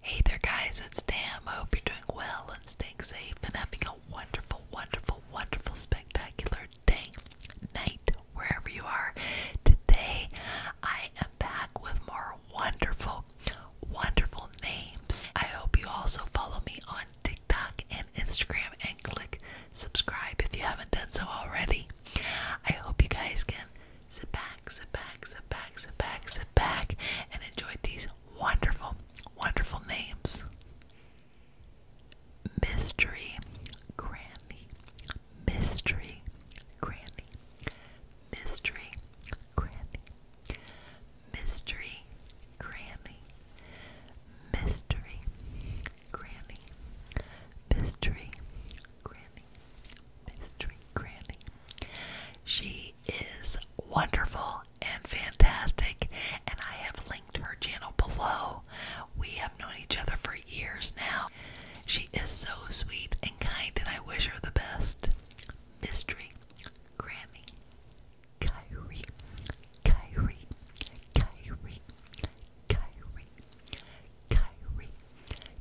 Hey there, guys, it's Tam. I hope you're doing well and staying safe and having a wonderful, wonderful, wonderful, spectacular day, night, wherever you are. Today, I am back with more wonderful, wonderful names. I hope you also follow me on TikTok and Instagram and click subscribe if you haven't done so already. I hope you guys can sit back back, sit back, sit back, sit back, sit back, and enjoy these wonderful, wonderful names. Mystery Granny, Mystery Granny, Mystery Granny, Mystery Granny, Mystery Granny, Mystery Granny. Mystery Granny. She is wonderful and fantastic, and I have linked her channel below. We have known each other for years now. She is so sweet and kind, and I wish her the best. Mystery Granny. Kyrie, Kyrie, Kyrie, Kyrie, Kyrie,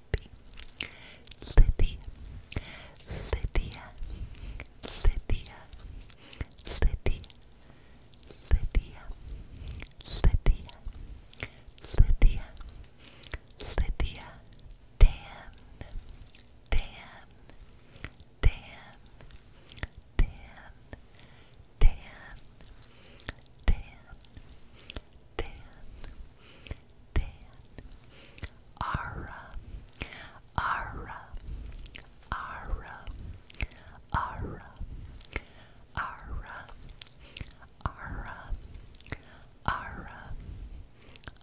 Lydia, Lydia, Lydia, Lydia, Lydia, Lydia, Lydia, Lydia, Dan, Dan, Dan, Dan, Dan, Dan, Dan, Dan, Ara, Ara, Ara, Ara, Ara, Ara, Ara,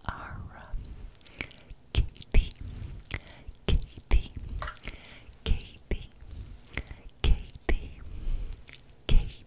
Ara, Katie, Katie, Katie, Katie, Katie.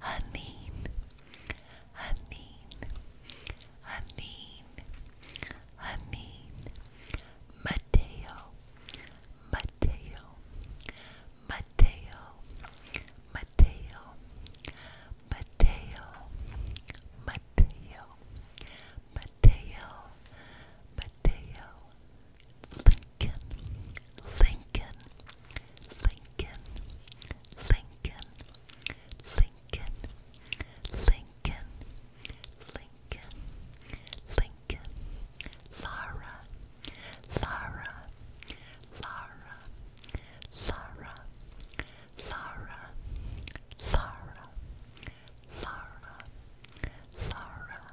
Hanin, Hanin, Hanin, Hanin, Mateo, Mateo, Mateo, Mateo, Mateo, Mateo, Mateo, Mateo. Lincoln, Lincoln, Lincoln, Lincoln, Lincoln, Lincoln, Lincoln, Lincoln, Sarah, Sarah, Sarah, Sarah, Sarah, Sarah, Sarah, Sarah,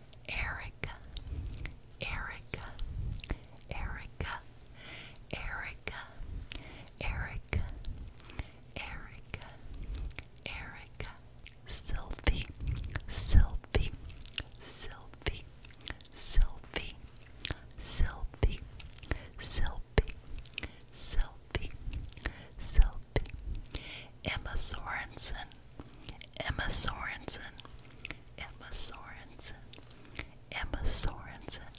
Erica, Erica, Erica, Erica, Erica, Erica, Erica, Sylvie, Sylvie, Sylvie, Sylvie, Sylvie, Sylvie, Sylvie, Sylvie, Emma Sorensen, Emma Sorensen, Emma Sorensen, Emma Sorensen,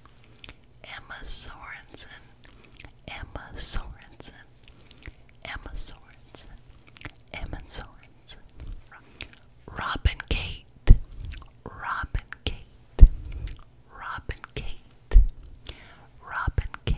Emma Sorensen, Emma Sorensen, Emma Sorensen, Emma Sorensen, Robin Kate, Robin Kate, Robin Kate, Robin Kate.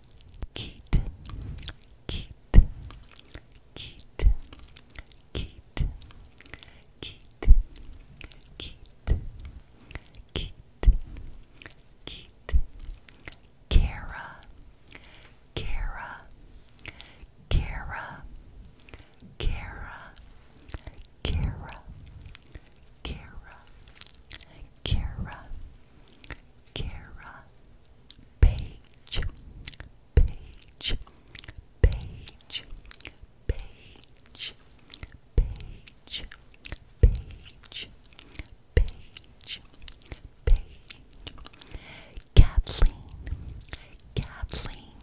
Keat, Keat, Keat, Keat, Keat, Keat, Keat, Keat, Kara, Kara, Kara, Kara, Kara, Kara, Kara, Kara, page, page, page, page, page, page, page, page, Kathleen, Kathleen,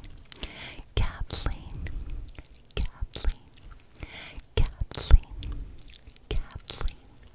Kathleen, Kathleen, Kathleen, Kathleen.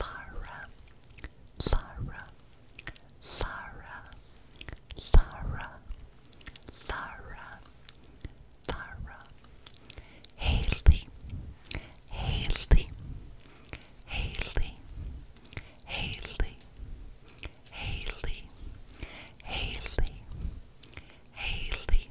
Lara, Lara, Lara, Lara, Lara, Lara, Haley, Haley, Haley, Haley, Haley, Haley, Haley,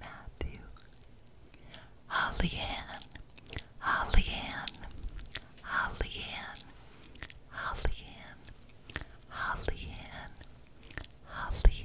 Matthew, Holly Ann, Holly Ann, Holly Ann, Holly Ann, Holly Ann, Holly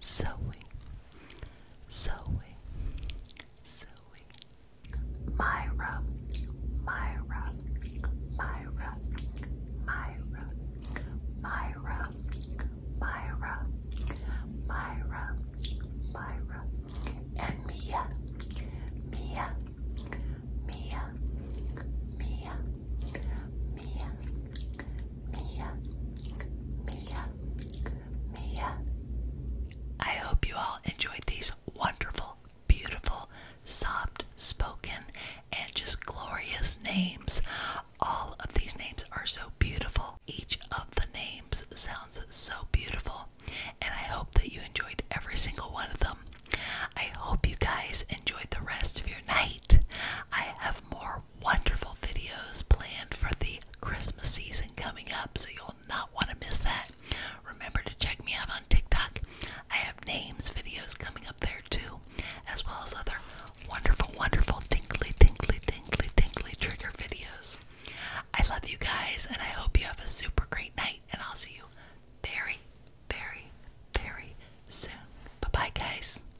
sewing, sewing, sewing. Myra, Myra, Myra, Myra, Myra, Myra, Myra, Myra, and Mia, Mia, Mia, Mia, Mia, Mia, Mia, Mia. I hope you all enjoyed these wonderful, beautiful, soft spoken, and just glorious names. All of these names are so beautiful. Each of the names sounds so beautiful, and I hope that you enjoyed every single one of them. I hope you guys enjoyed the rest of your night. I have more wonderful videos planned for the Christmas season coming up, so you'll not want to miss that. Remember to check me out on TikTok. I have names videos coming up there too, as well as other wonderful, wonderful tingly, tingly, tingly, tingly trigger videos. I love you guys, and I hope you have a super great night, and I'll see you very, very, very soon. Bye bye, guys.